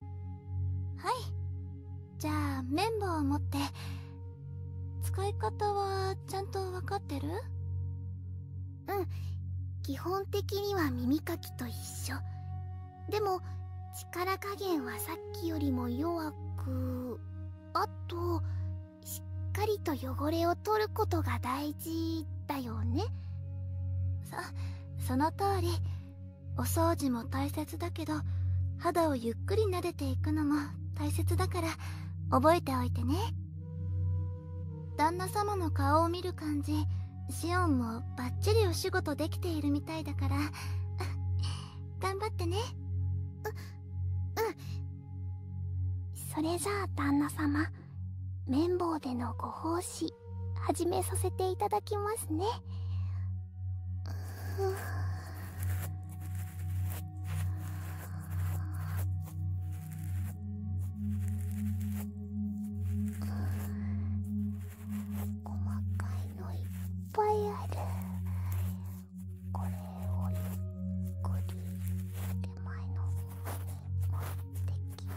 はいじゃあ綿棒を持って使い方はちゃんと分かってるうん基本的には耳かきと一緒でも力加減はさっきよりも弱くあとしっかりと汚れを取ることが大事だよねそその通りお掃除も大切だけど肌をゆっくり撫でていくのも大切だから覚えておいてね旦那様の顔を見る感じシオンもバッチリお仕事できているみたいだから 頑張ってねううんそれじゃあ旦那様綿棒でのご奉仕始めさせていただきますね細かいのいっぱいあるこれをゆっくり手前の方に持ってきて。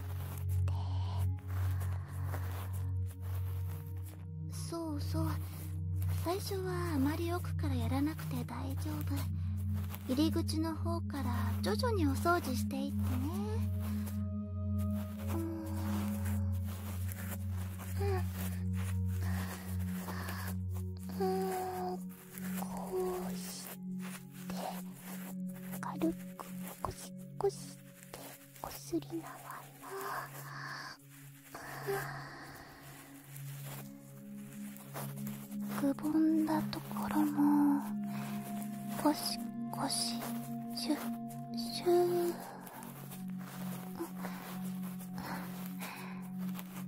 そうそう最初はあまり奥からやらなくて大丈夫入り口の方から徐々にお掃除していってねうーん、うんうん、こうして軽くこシゴシってこすりながらくぼんだところもこしこしシュッシュー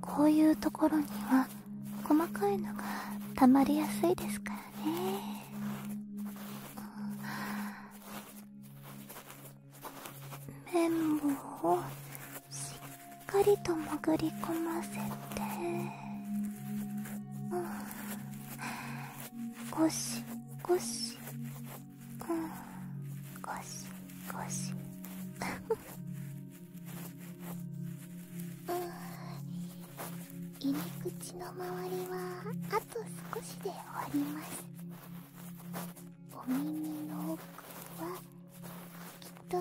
こういうところには細かいのがたまりやすいですからね綿棒をしっかりと潜り込ませて、うん、ゴシゴシ、うん、ゴシゴシうん入り口の周りはあと少しで終わりますお耳の奥はきっと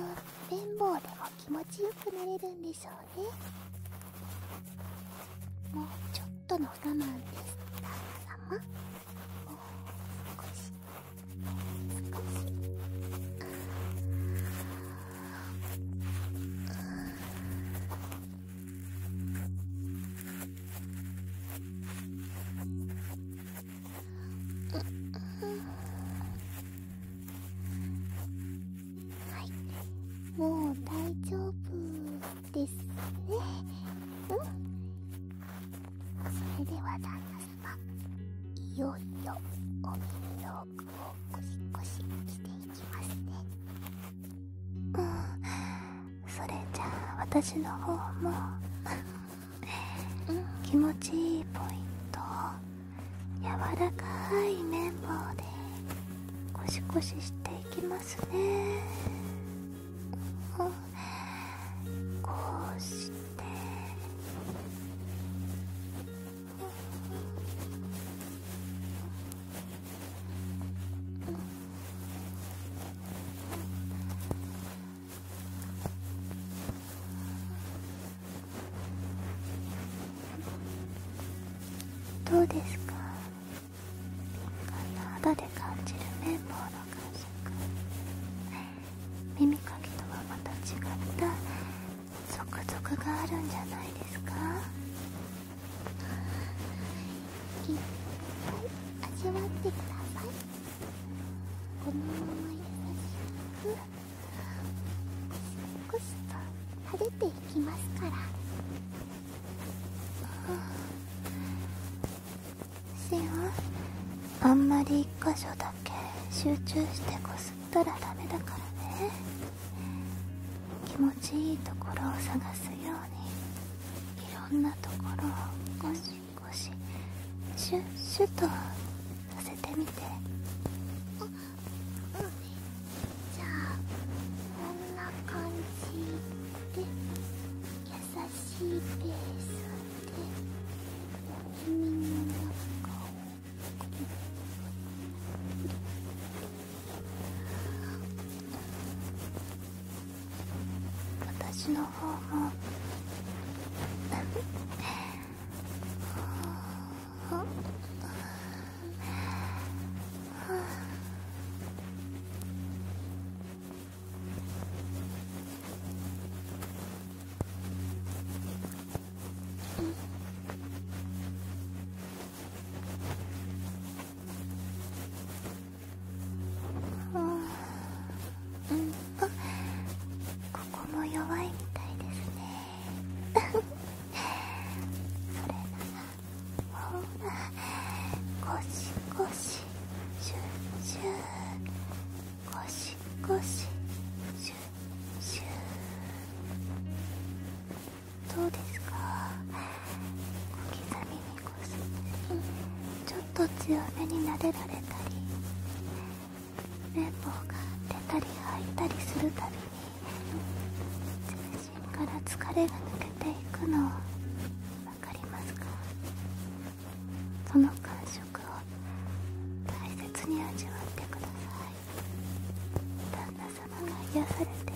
綿棒でも気持ちよくなれるんでしょうねもうちょっとの我慢です旦那様もう少しもう少しああはいもう大丈夫ですねんそれでは旦那様いよいよお耳の奥をゴシゴシしていきますねんそれじゃあ私の方も気持ちいいポイントを柔らかい綿棒でコシコシしていきますねこうしてどうですかあな肌で感じる綿棒の感触耳かきとはまた違ったゾクゾクがあるんじゃないですかいっぱい味わってくださいこのまま優しくコシコシと晴れていきますからシオはあんまり1箇所だけ集中してこすったらダメだからね気持ちいいところを探すようにろんなところをゴシゴシシュッシュッとさせてみてあうじゃあこんな感じで優しいペースで耳の中を私の方もうんとここも弱いみたいですねそれならほらゴシゴシシュシュゴシゴシシュシュどうですか小刻みにちょっと強めに撫でられたり綿棒が出たり入ったりするたびに、うん、全身から疲れが抜けていくのを分かりますかその感触を大切に味わってください旦那様が癒されていく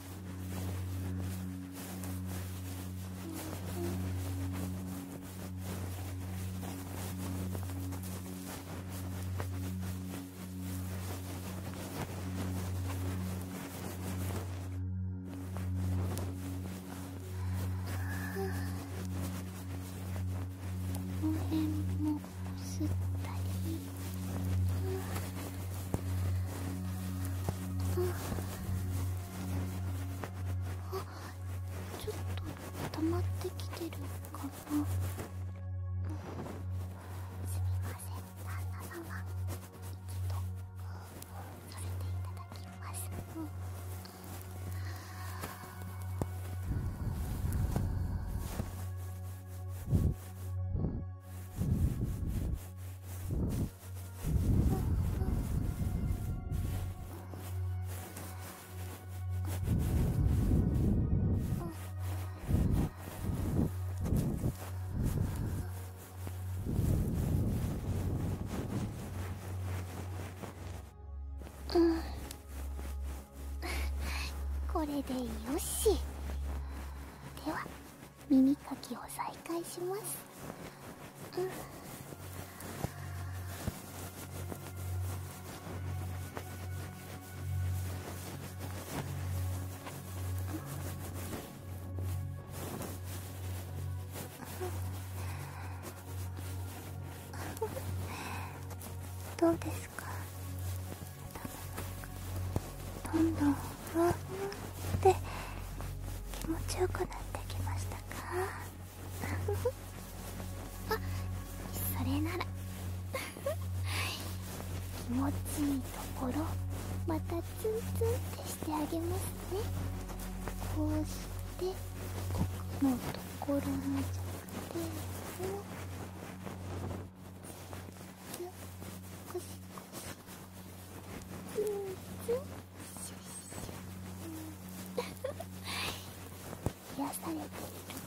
この辺もすったり。うん、あちょっと溜まってきてるかな、すみません旦那様一度、それさていただきます、うんうんうんこれでよしでは。耳かきを再開します、どうですかどんどんふわふわって気持ちよくなってきましたか あそれなら 気持ちいいところまたツンツンってしてあげますねこうしてここのところの弱点を癒されている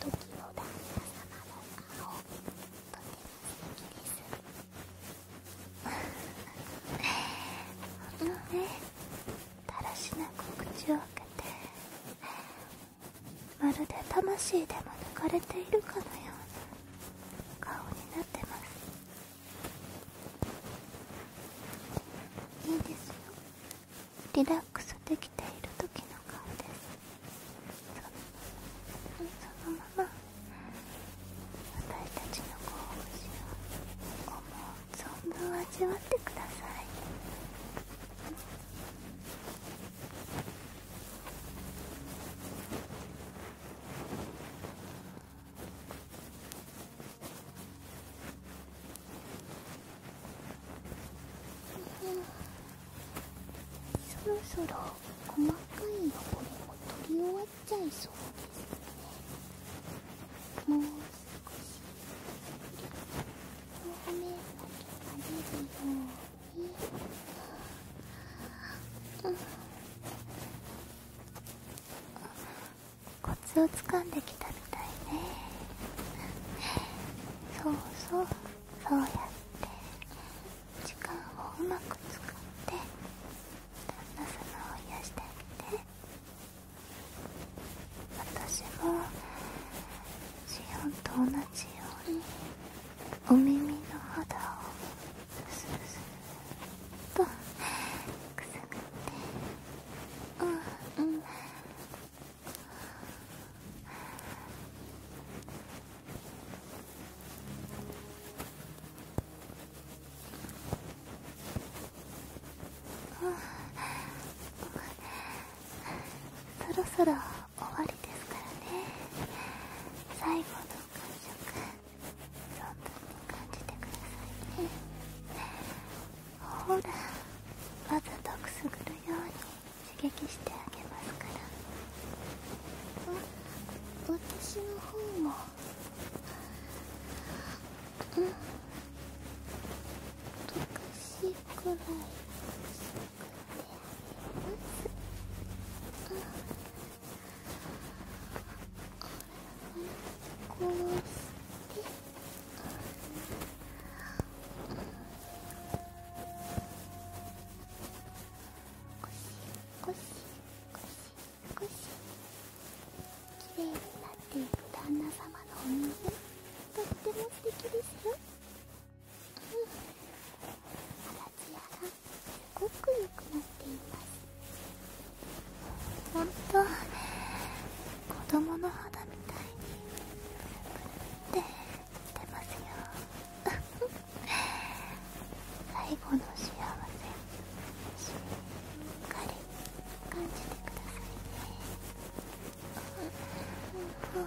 時の旦那様の顔とても素敵です本当ねだらしなく口を開けてまるで魂でも抜かれているかのような顔になってますいいですよリラックスできている時の顔ですそのままそのまま、私たちの興奮を思う存分味わってくださいうん。そろそろ細かい汚れも取り終わっちゃいそうですねもう少し表面だけが出るように、うん、コツをつかんできたみたいねそうそうそうやって時間をうまく使って旦那様を癒してあげて私もシオンと同じようにお耳の肌をスーとくすぐってうんうんそろそろ終わりですからね最後の感触に感じてくださいねほらわざとくすぐるように刺激してあげますから私の方もうんおかしいくらいすぐってあげますこうしてゴしゴし、ゴシゴシきれいになっていく旦那様のお水とっても素敵ですようんあらつやがすごく良くなっていますほんと子供の肌みたいにプるっててますよ最後の幸せしっかり感じてくださいねこ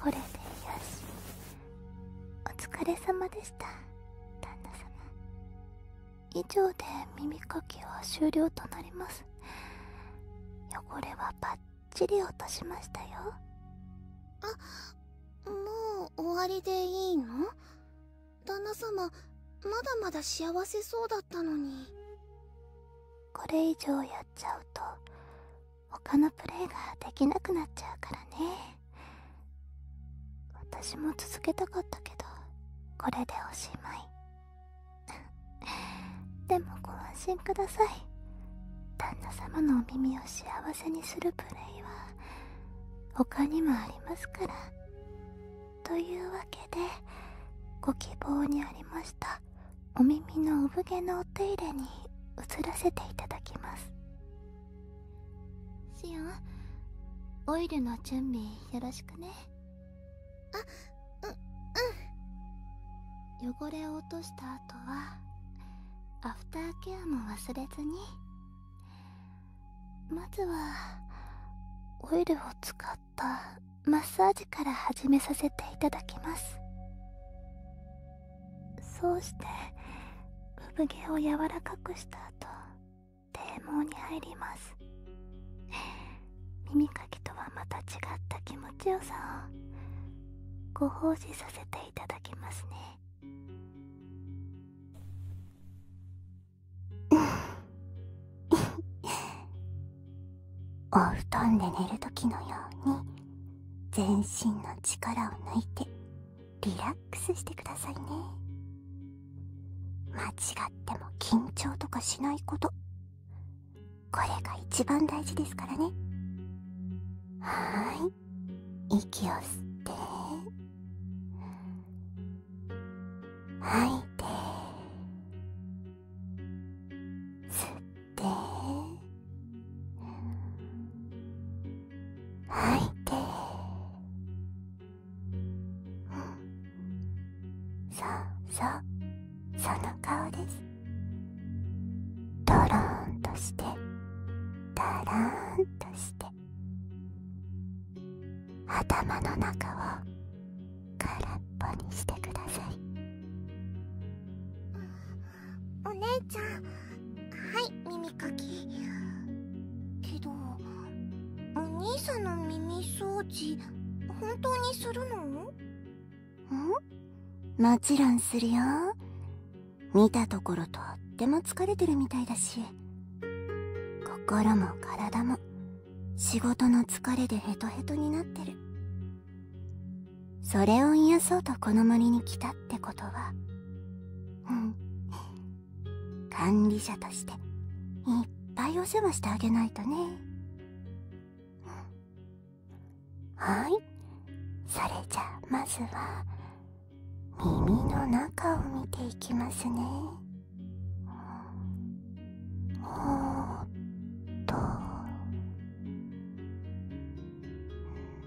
これでよしお疲れ様でした旦那様以上で耳かきは終了となります汚れはバッチリ落としましたよあもう終わりでいいの旦那様まだまだ幸せそうだったのにこれ以上やっちゃうと他のプレイができなくなっちゃうからね私も続けたかったけどこれでおしまい でもご安心ください旦那様のお耳を幸せにするプレイは他にもありますからというわけでご希望にありましたお耳の産毛のお手入れに移らせていただきますシオンオイルの準備よろしくねあううん汚れを落とした後はアフターケアも忘れずにまずはオイルを使ったマッサージから始めさせていただきますそうして産毛を柔らかくした後堤防に入ります耳かきとはまた違った気持ちよさをご奉仕させていただきますね お布団で寝る時のように全身の力を抜いてリラックスしてくださいね間違っても緊張とかしないことこれが一番大事ですからねはい息を吸って吐いて吸って…吐いてそうそうその顔ですドローンとしてダラーンとして頭の中を空っぽにしてくださいお姉ちゃんはい耳かきけどお兄さんの耳掃除本当にするのんもちろんするよ見たところとっても疲れてるみたいだし心も体も仕事の疲れでヘトヘトになってるそれを癒そうとこの森に来たってことはうん管理者としていっぱいお世話してあげないとねはいそれじゃまずは耳の中を見ていきますねおっと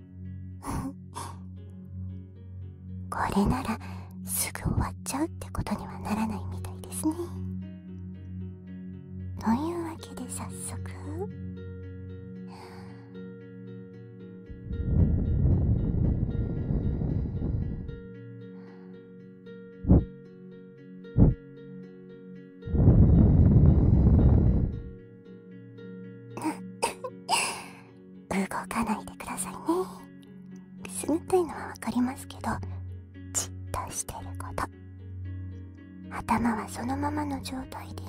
これならすぐ終わっちゃうってことにはならないみたいですねというわけで早速は動かないでくださいねくすぐったいのはわかりますけどじっとしてること頭はそのままの状態でね。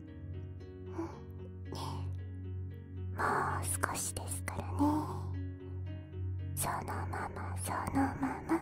もう少しですからねそのままそのまま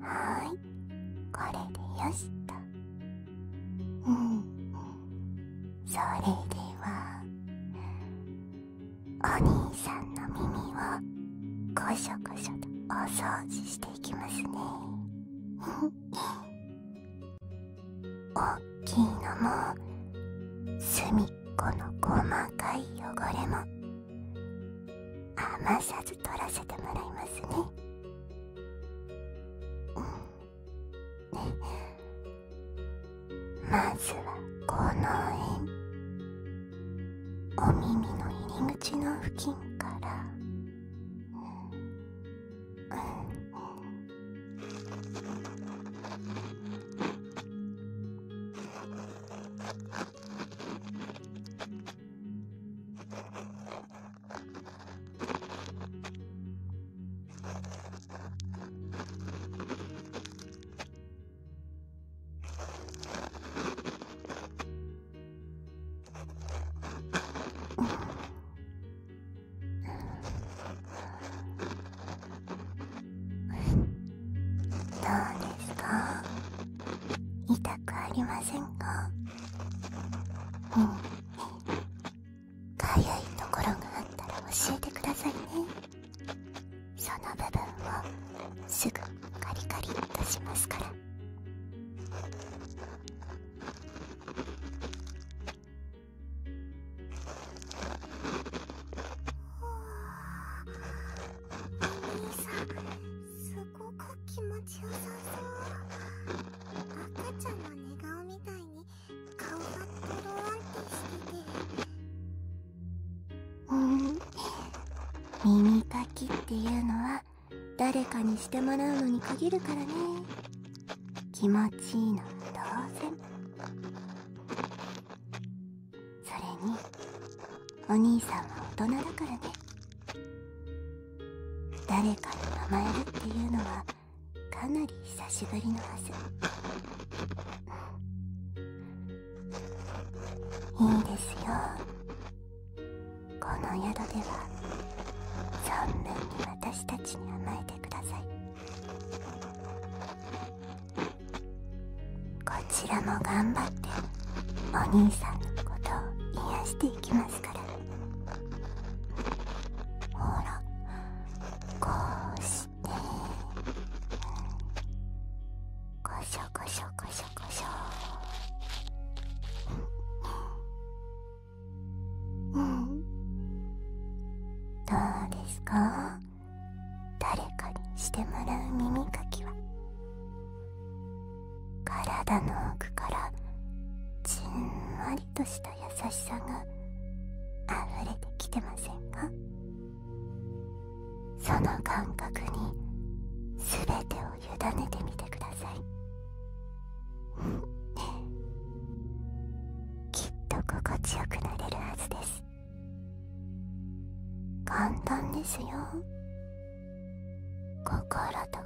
はいこれでよしとそれではお兄さんの耳をこしょこしょとお掃除していきますねおっきいのも隅っこの細かい汚れも甘さ取らせてもらいますねうんまずはこの辺お耳の入り口の付近から、うんどうですか痛くありませんかうんかゆいところがあったら教えてくださいねその部分をすぐカリカリ出しますからお兄さんすっごい…ここ気持ちよさそう赤ちゃんの寝顔みたいに顔がとろーんってしててうん耳かきっていうのは誰かにしてもらうのに限るからね気持ちいいのは当然それにお兄さんは大人だからね誰かに甘えるっていうのはかなり久しぶりのはずいいですよこの宿では存分に私たちに甘えてくださいこちらも頑張ってお兄さんのことを癒していきますかほらこうしてこしょこしょこしょこしょうんどうですか誰かにしてもらう耳かきは体の奥からじんわりとした優しさが溢れてきてませんかその感覚に全てを委ねてみてくださいきっと心地よくなれるはずです簡単ですよ心と体を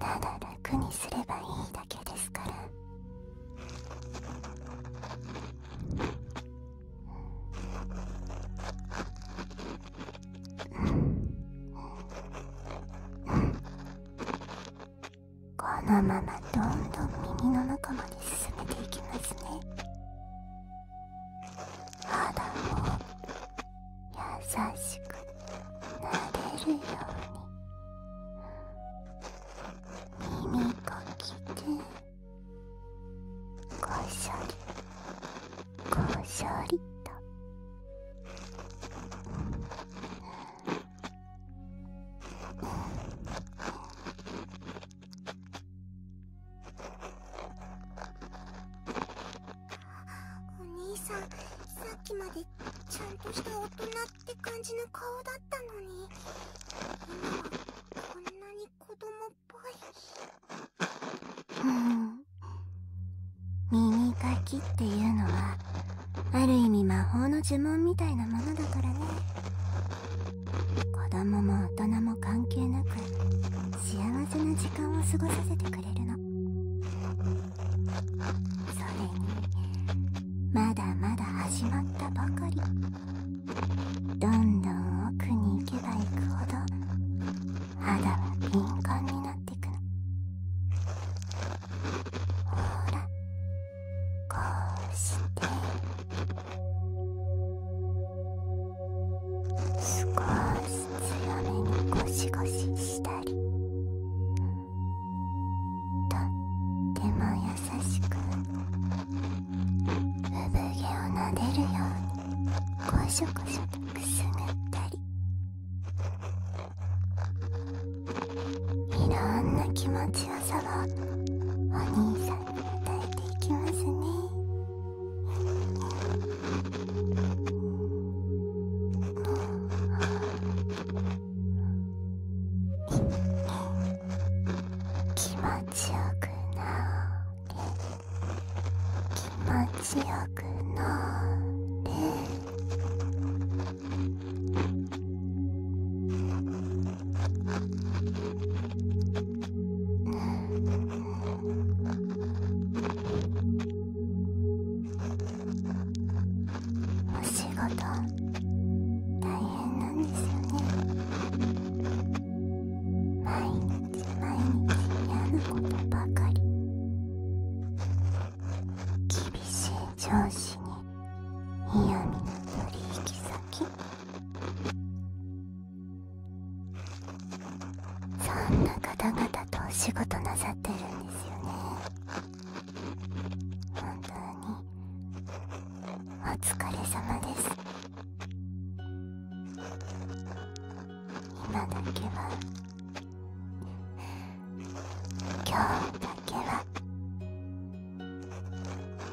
ただ楽にすればいいだけですからこのままどんどん耳の中まで進めていきますね肌を優しくなれるように耳かきでこしょりこしょりとお兄さんさっきまでちゃんとした大人って感じの顔だったのに今はこんなに子供っぽいうん耳かきっていうのはある意味魔法の呪文みたいなものだからね子供も大人も関係なく幸せな時間を過ごさせてくれるのそれにまだまだ始まったばかりどんどん奥に行けば行くほど肌は敏感になってくのほらこうして。少し強めにゴシゴシしたりとっても優しく産毛をなでるようにこしょこしょとくすぐったりいろんな気持ちよさをお兄さんに与えていきますね。気持ちよくなれ気持ちよくなれお仕事大変なんですよね毎日毎日嫌なことばかり厳しい上司に嫌みな取引先そんな方々とお仕事なさってるんですよね本当にお疲れ様です今だけは今日だけは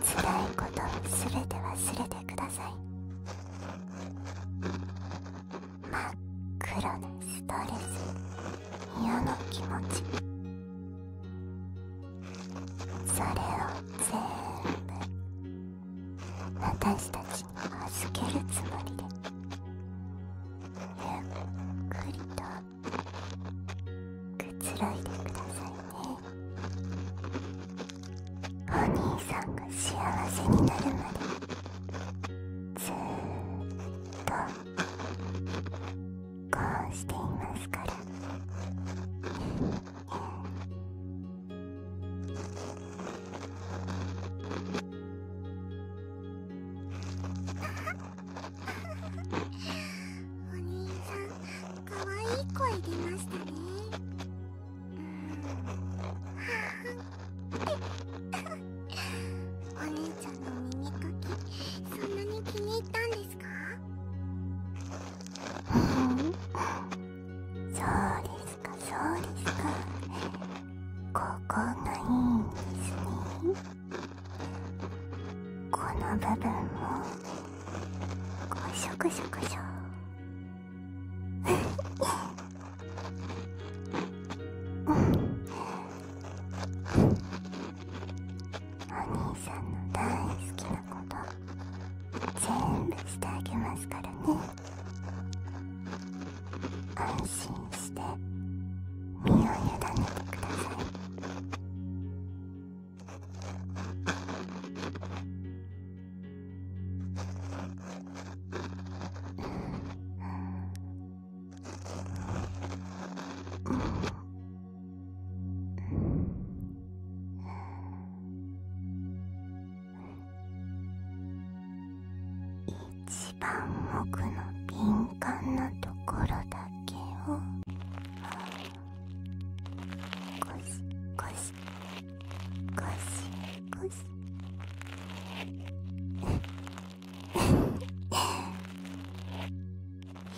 辛いことすべて忘れてください真っ黒なストレス嫌な気持ちそれを全部私たちに預けるつもりでゆっくりとくつろいでくださいねお兄さんが幸せになるまでずっとこうしていますからお兄さんかわいい声出ましたねかわいいお姉ちゃんの耳かきそんなに気に入ったんですかそうですかそうですかここがいいんですねこの部分もこうショコショコショお兄さんの大好きなこと全部してあげますからね安心して身を委ねてくださいっ、うううん、ん、ん、一番奥の敏感なところだけをゴシゴシゴシゴます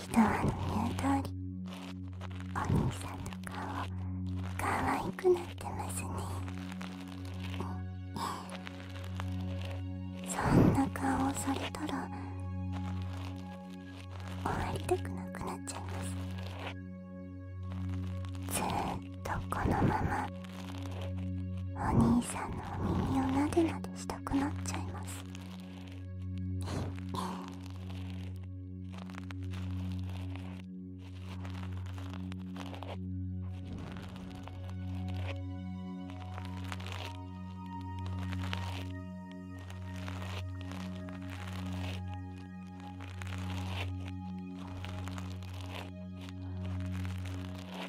人はの言う通りお兄さんの顔可愛くなってますねそんな顔をされたら終わりたくなくなっちゃいますずっとこのままお兄さんのお耳をなでなでしたくなっちゃいますえ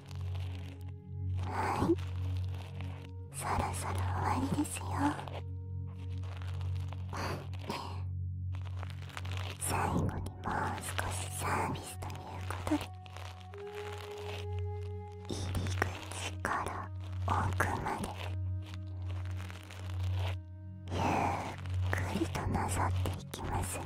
はいそろそろ終わりですよ最後にもう少しサービスということで入り口から奥までゆっくりとなさっていきますね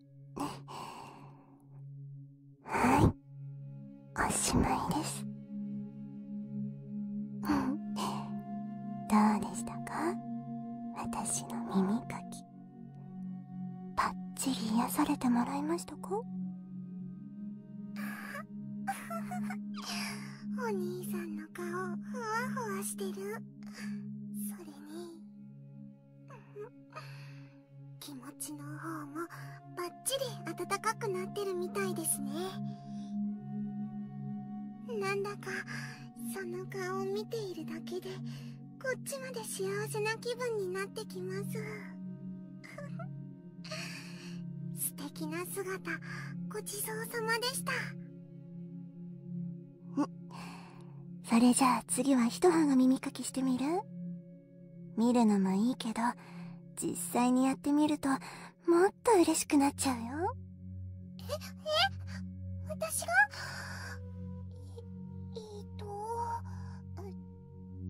はいおしまいですどうでしたか私の耳かきばっちり癒やされてもらいましたか お兄さんの顔ふわふわしてるそれに気持ちの方もバッチリ温かくなってるみたいですねなんだかその顔を見ているだけでこっちまで幸せな気分になってきます 素敵な姿ごちそうさまでしたそれじゃあ次は一葉が耳かきしてみる見るのもいいけど実際にやってみるともっと嬉しくなっちゃうよええ私がええっと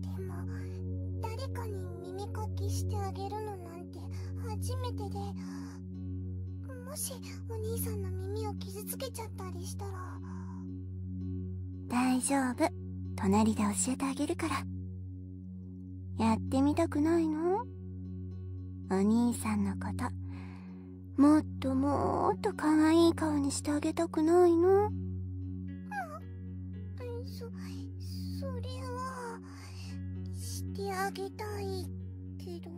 でも誰かに耳かきしてあげるのなんて初めてでもしお兄さんの耳を傷つけちゃったりしたら大丈夫隣で教えてあげるからやってみたくないのお兄さんのこともっともっと可愛い顔にしてあげたくないのそそれはしてあげたいけど。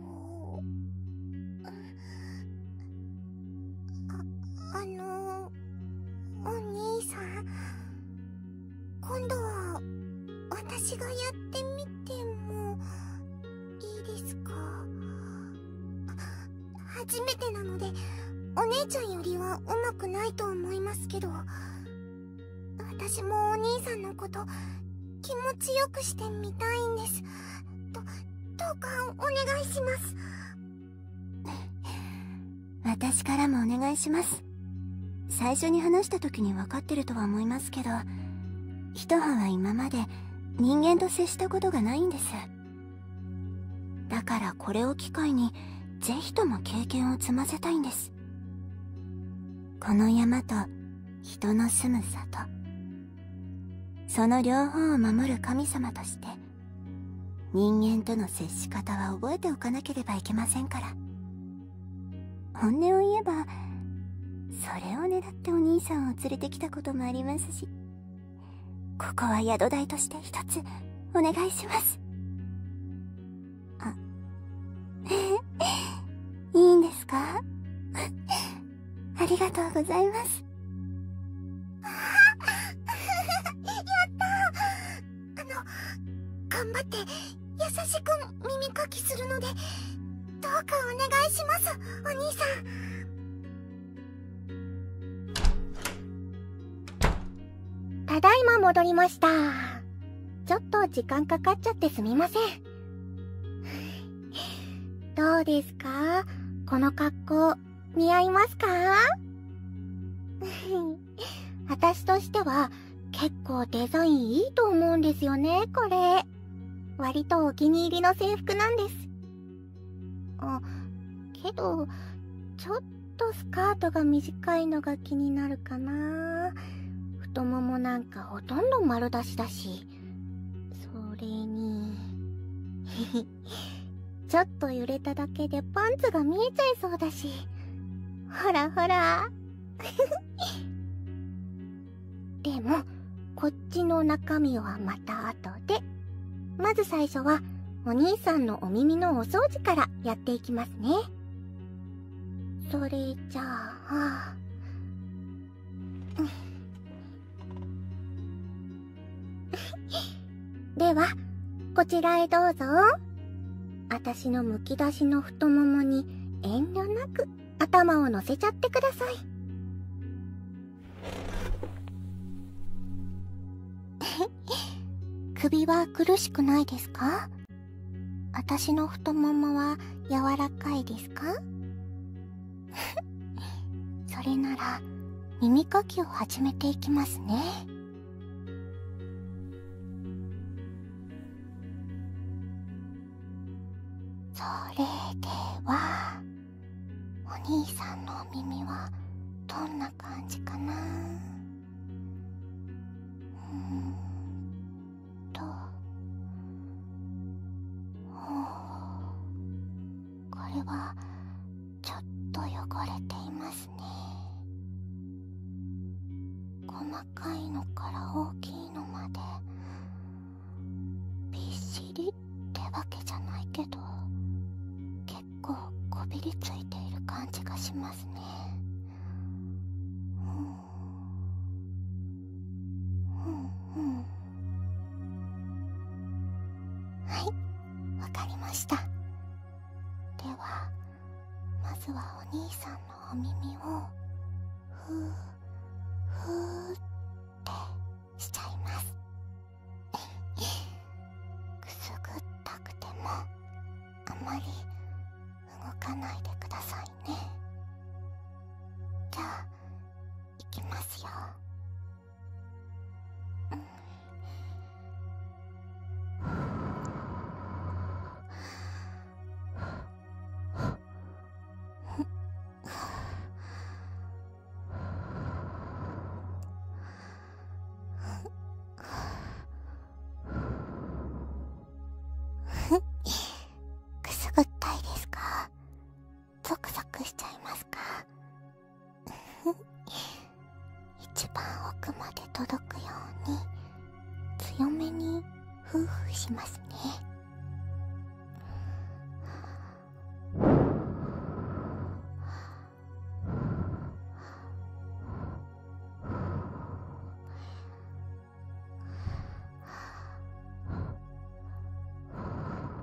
あ、あの、お兄さん、今度は、私がやってみても、いいですか初めてなので、お姉ちゃんよりは上手くないと思いますけど、私もお兄さんのこと、気持ちよく。してみたいんですどうかお願いします 私からもお願いします最初に話した時に分かってるとは思いますけど一葉は今まで人間と接したことがないんですだからこれを機会に是非とも経験を積ませたいんですこの山と人の住む里その両方を守る神様として人間との接し方は覚えておかなければいけませんから本音を言えばそれを狙ってお兄さんを連れてきたこともありますしここは宿代として一つお願いしますあえ いいんですかありがとうございます。やったあの、頑張って優しく耳かきするので、どうかお願いします、お兄さん。ただいま戻りました。ちょっと時間かかっちゃってすみません。どうですかこの格好、似合いますか 私としては、結構デザインいいと思うんですよね、これ。割とお気に入りの制服なんです。あ、けど、ちょっとスカートが短いのが気になるかな。太ももなんかほとんど丸出しだし。それに ちょっと揺れただけでパンツが見えちゃいそうだしほらほら でもこっちの中身はまた後でまず最初はお兄さんのお耳のお掃除からやっていきますねそれじゃあ ではこちらへどうぞあたしのむき出しの太ももに遠慮なく頭をのせちゃってください 首は苦しくないですかあたしの太ももは柔らかいですかそれなら耳かきを始めていきますねそれではお兄さんのお耳はどんな感じかなうんとはあ。これはちょっと汚れていますね細かいのから大きいのまでびっしりってわけじゃないけど結構こびりついている感じがしますねうんうんうんはいわかりましたではまずはお兄さんのお耳をふーふってしちゃいます くすぐったくてもあまり動かないでくださいねじゃあいきますよ。くすぐったいですかゾクゾクしちゃいますか 一番奥まで届くように強めにフーフーしますね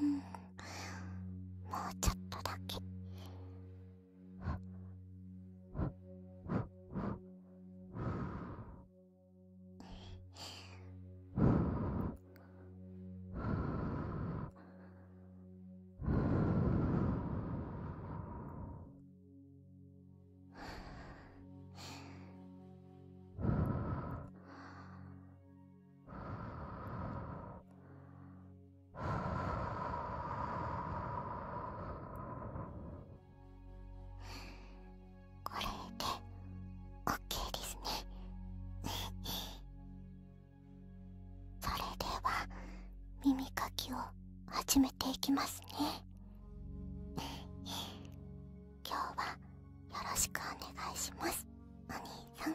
うんもうちょっとだけこれでオッケーですねそれでは耳かきを始めていきますね今日はよろしくお願いしますお兄さん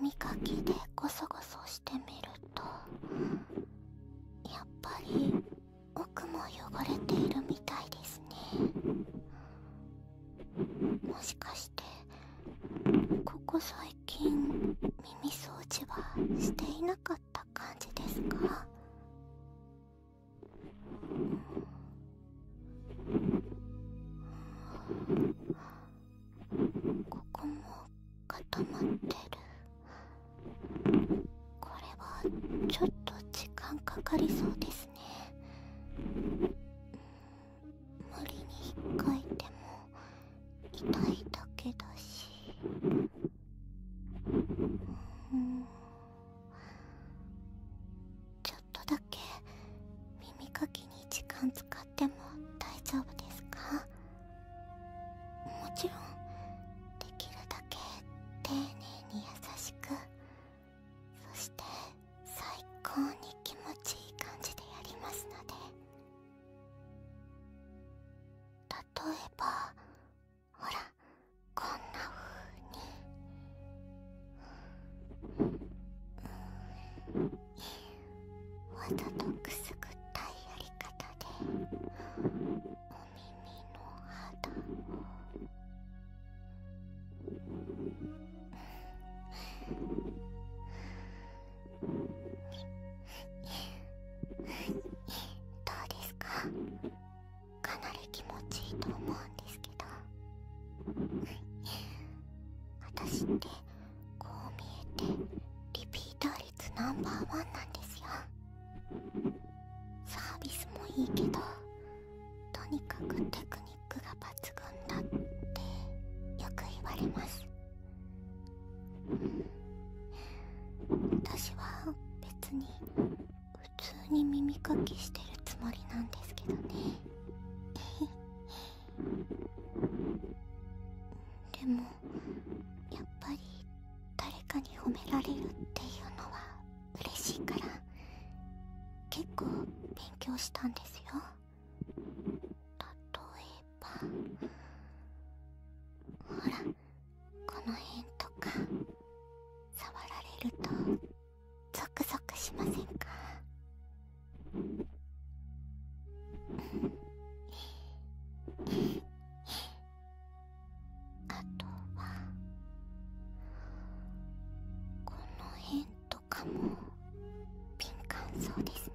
耳かきでゴソゴソしてみるとやっぱり奥も汚れているみたいですねもしかしてここ最近耳掃除はしていなかった感じですかここも固まってるこれはちょっと時間かかりそうですね無理に引っかいても痛いだけだしちょっと。ょっとだけ耳かきに時間使っても大丈夫ですかもちろんできるだけ丁寧に優しくそして最高に気持ちいい感じでやりますので例えばほらこんな風に、うん、わざとくすぐったいやり方でお耳の肌を、どうですかかなり気持ちいいと思うんですけど私ってこう見えてリピーター率ナンバーワンなんですよサービスもいいけどとにかくテクニックが抜群だってよく言われます私は別に普通に耳かきしてるつもりなんですけどねでもやっぱり誰かに褒められるっていうのは嬉しいから結構勉強したんですよ例えばほらこの辺とか触られるとゾクゾクしませんかあとはこの辺とかも敏感そうですね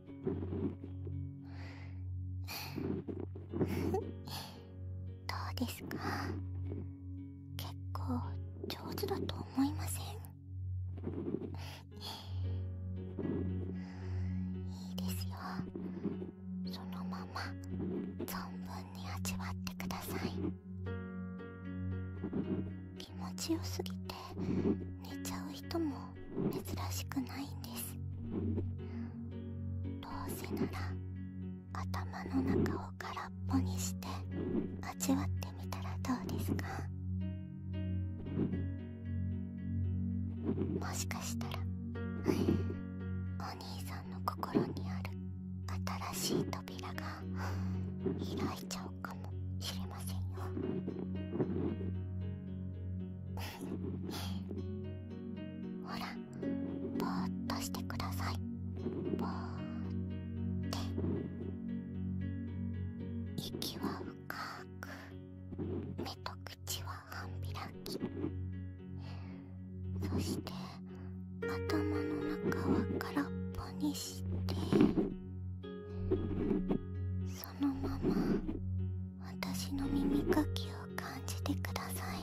どうですか結構上手だと思いませんいいですよそのまま存分に味わってください気持ちよすぎて寝ちゃう人も珍しくないんですどうせなら頭の中を空っぽにして味わってみたらどうですかもしかしたらお兄さんの心にある新しい扉が開いちゃうかもしれませんよほらぼーっとしてくださいぼーって息は深く目と口は半開きそして頭の中は空っぽにしてそのまま私の耳かきを感じてください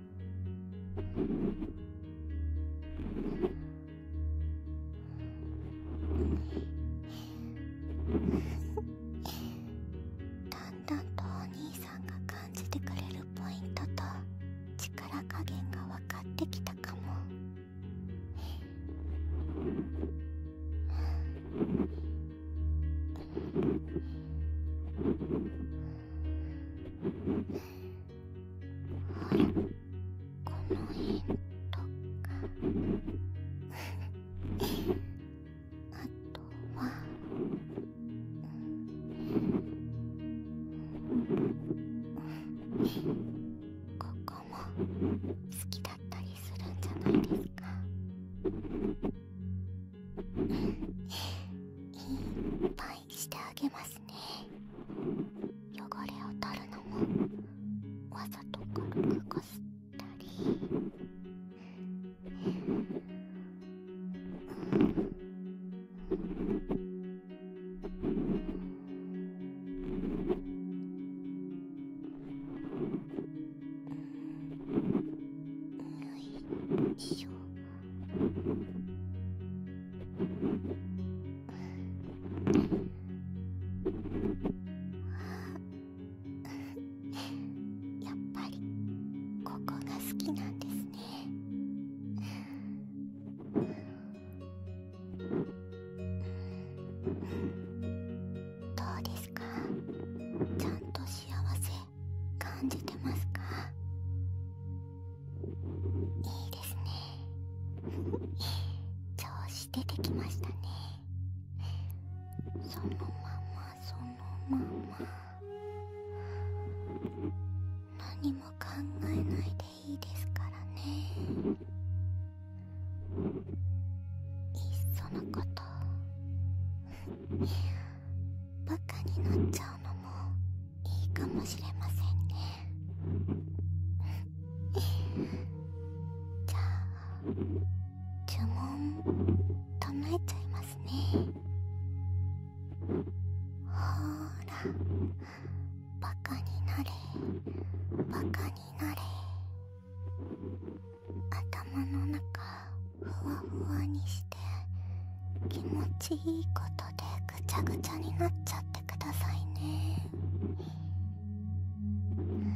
だんだんとお兄さんが感じてくれるポイントと力加減が分かってきたかもこここのととか。か。あは。も。すすきだったりるんじゃないでいっぱいいしてあげますね汚れを取るのもわざと軽くこすったり、うん、よいしょ。あ。やっぱりここが好きなんですねどうですかちゃんと幸せ感じてますかいいですね 調子出てきましたねそのままそのまま何も考えないでいいですからねいっそのことバカになっちゃうのもいいかもしれませんね じゃあ呪文唱えちゃいますねほらバカになれバカになれ頭の中ふわふわにして気持ちいいことでぐちゃぐちゃになっちゃってくださいねふ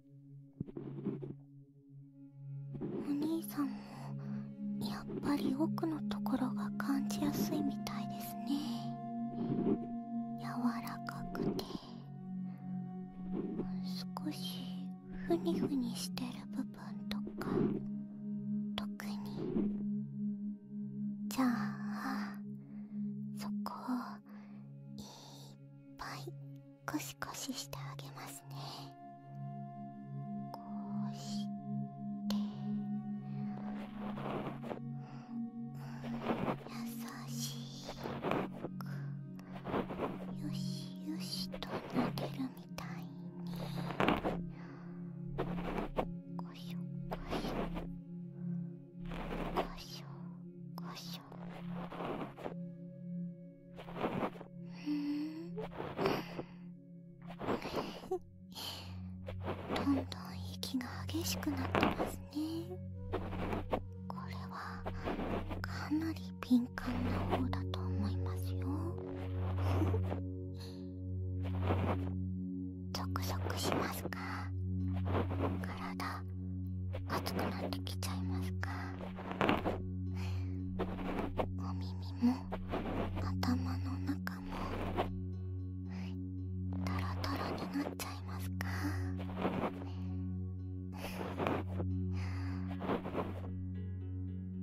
お兄さんもやっぱり奥のところが感じやすいみたいですね柔らかくて少しふにふにしてる部分とか特にじゃあそこをいっぱいこシコシしてあげますねこうして、ん、優しくよしよしと投げるみたいにこしこしこしょこしょふん、どんどん息が激しくなってますねこれはかなり敏感な方だと思いますよゾクゾクしますか体熱くなってきちゃいますかお耳も頭の中もトロトロになっちゃいますか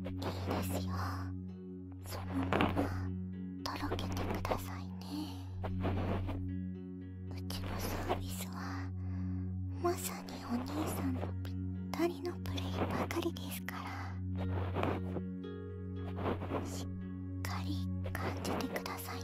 いいですよそのままとろけてくださいねうちのサービスはまさにお兄さんのぴったりのプレイばかりですからしっかり感じてくださいね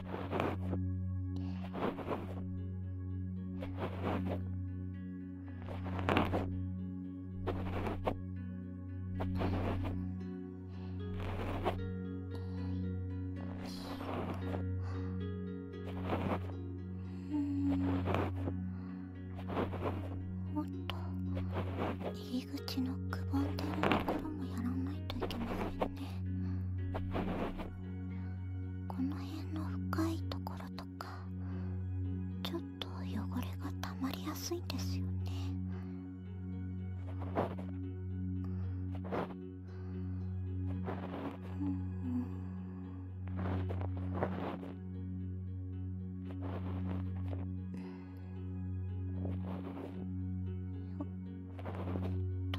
もっと入り口のくぼんでるところもやらないといけませんね。この辺の深いところとかちょっと汚れがたまりやすいんですよねんうん、よっと。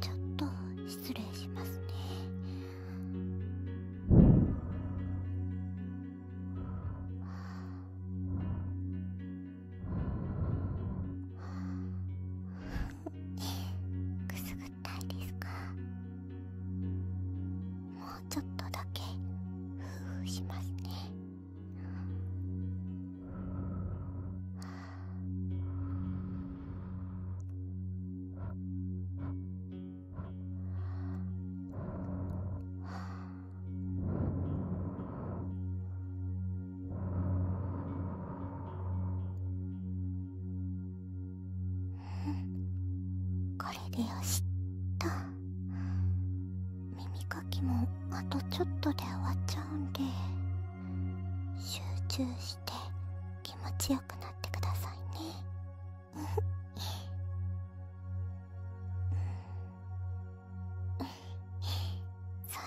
ちょっと失礼しますねくすぐったいですかもうちょっとだけふうふうしますねはあこれでよしっと耳かきもあとちょっとで終わっちゃうんで。集中して気持ちよくなってくださいね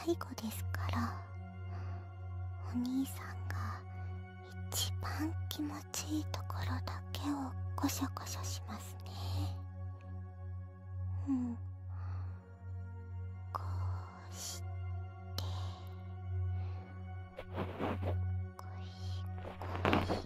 最後ですからお兄さんが一番気持ちいいところだけをこしょこしょしますねうんこうしてこいこいこいこい。こ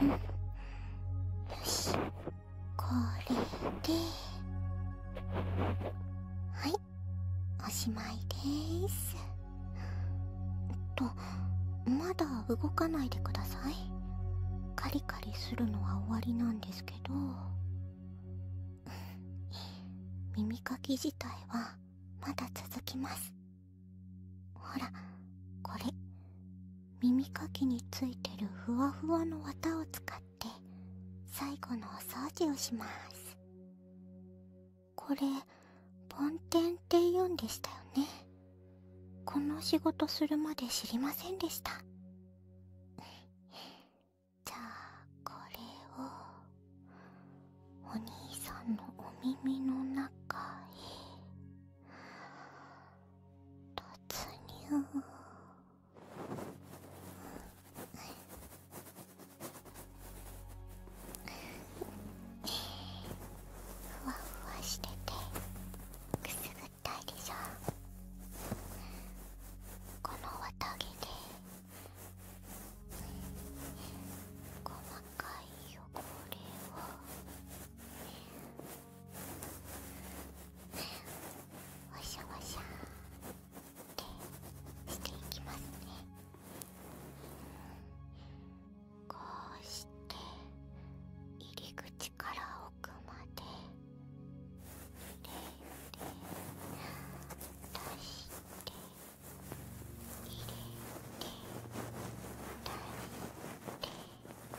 うんよしこれではいおしまいですっとまだ動かないでくださいカリカリするのは終わりなんですけど耳かき自体はまだ続きますほらこれ耳かきについてるふわふわの綿を使って最後のお掃除をしますこれ梵天って言うんでしたよねこの仕事するまで知りませんでしたじゃあこれをお兄さんのお耳の中へ突入ふわふわしててくすぐったいでしょこの綿毛で細かい汚れをわしゃわしゃってしていきますねこうして入り口から奥まで入れて出して入れて出して。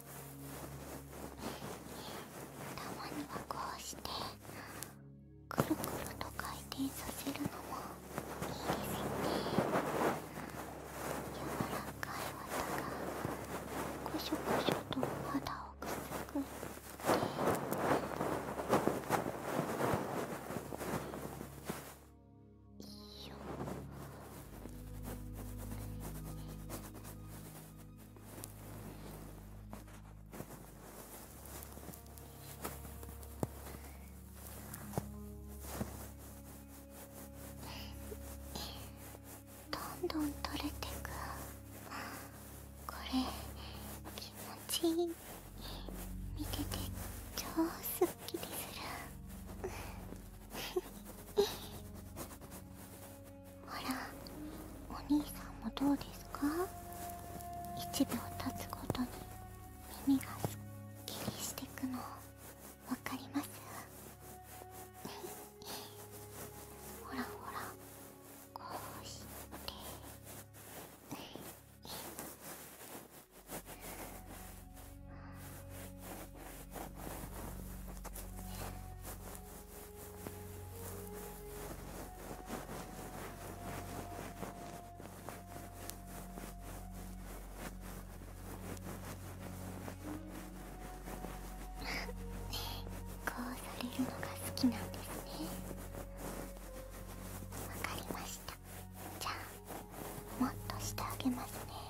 たまにはこうしてくるくると回転させるのもいいですよね柔らかい綿がこしょこしょと肌をくすぐっていいよどんどん取れてくこれ気持ちいい見てて超すっきりするほらお兄さんもどうですか1秒経つごとに耳がすっきりしてくのわかりますほらほらこうして こうされるのが好きなんですねわかりましたじゃあもっとしてあげますね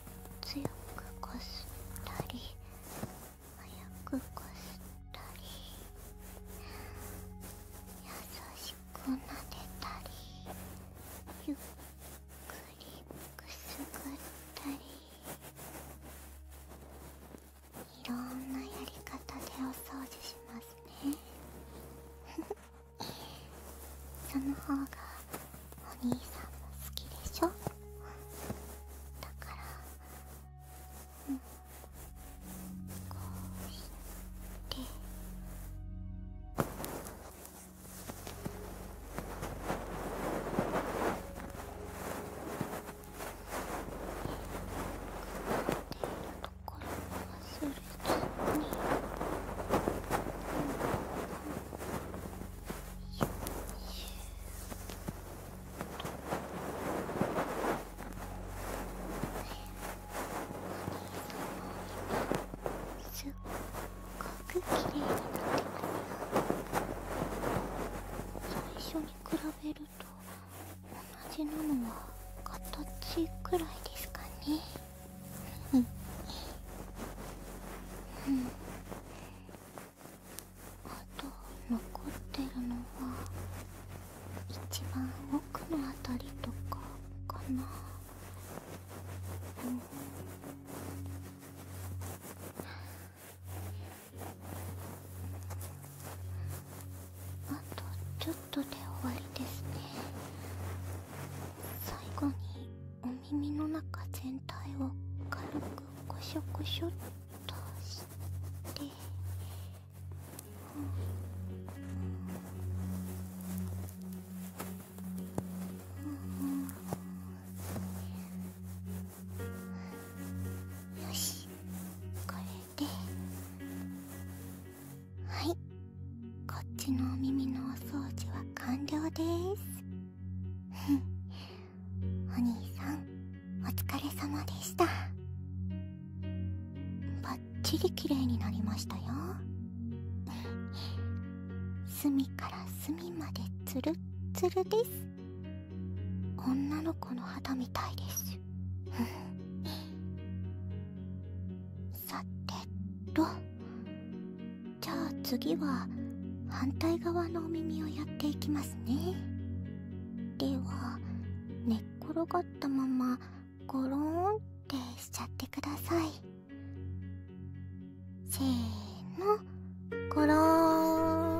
強くこすったり早くこすったり優しくなでたりゆっくりくすぐったりいろんなやり方でお掃除しますねその方がお兄さんも好きでしょだからうんこうしてこれ忘れちゃったね。すっごく綺麗になってます。最初に比べると同じなのは形くらいですかねうんうんあと残ってるのは一番奥の辺りとかかなうんあとちょっとで終わりですね最後にお耳の中全体を軽くこしょこしょっとして、うんうんうん、よしこれではいこっちのお耳のお掃除は完了です。ー すお兄さんお疲れ様でしたバッチリ綺麗になりましたよ隅から隅までツルッツルです女の子の肌みたいですさてとじゃあ次は反対側のお耳をやっていきますねでは寝っ転がったままゴローンってしちゃってくださいせーのゴローン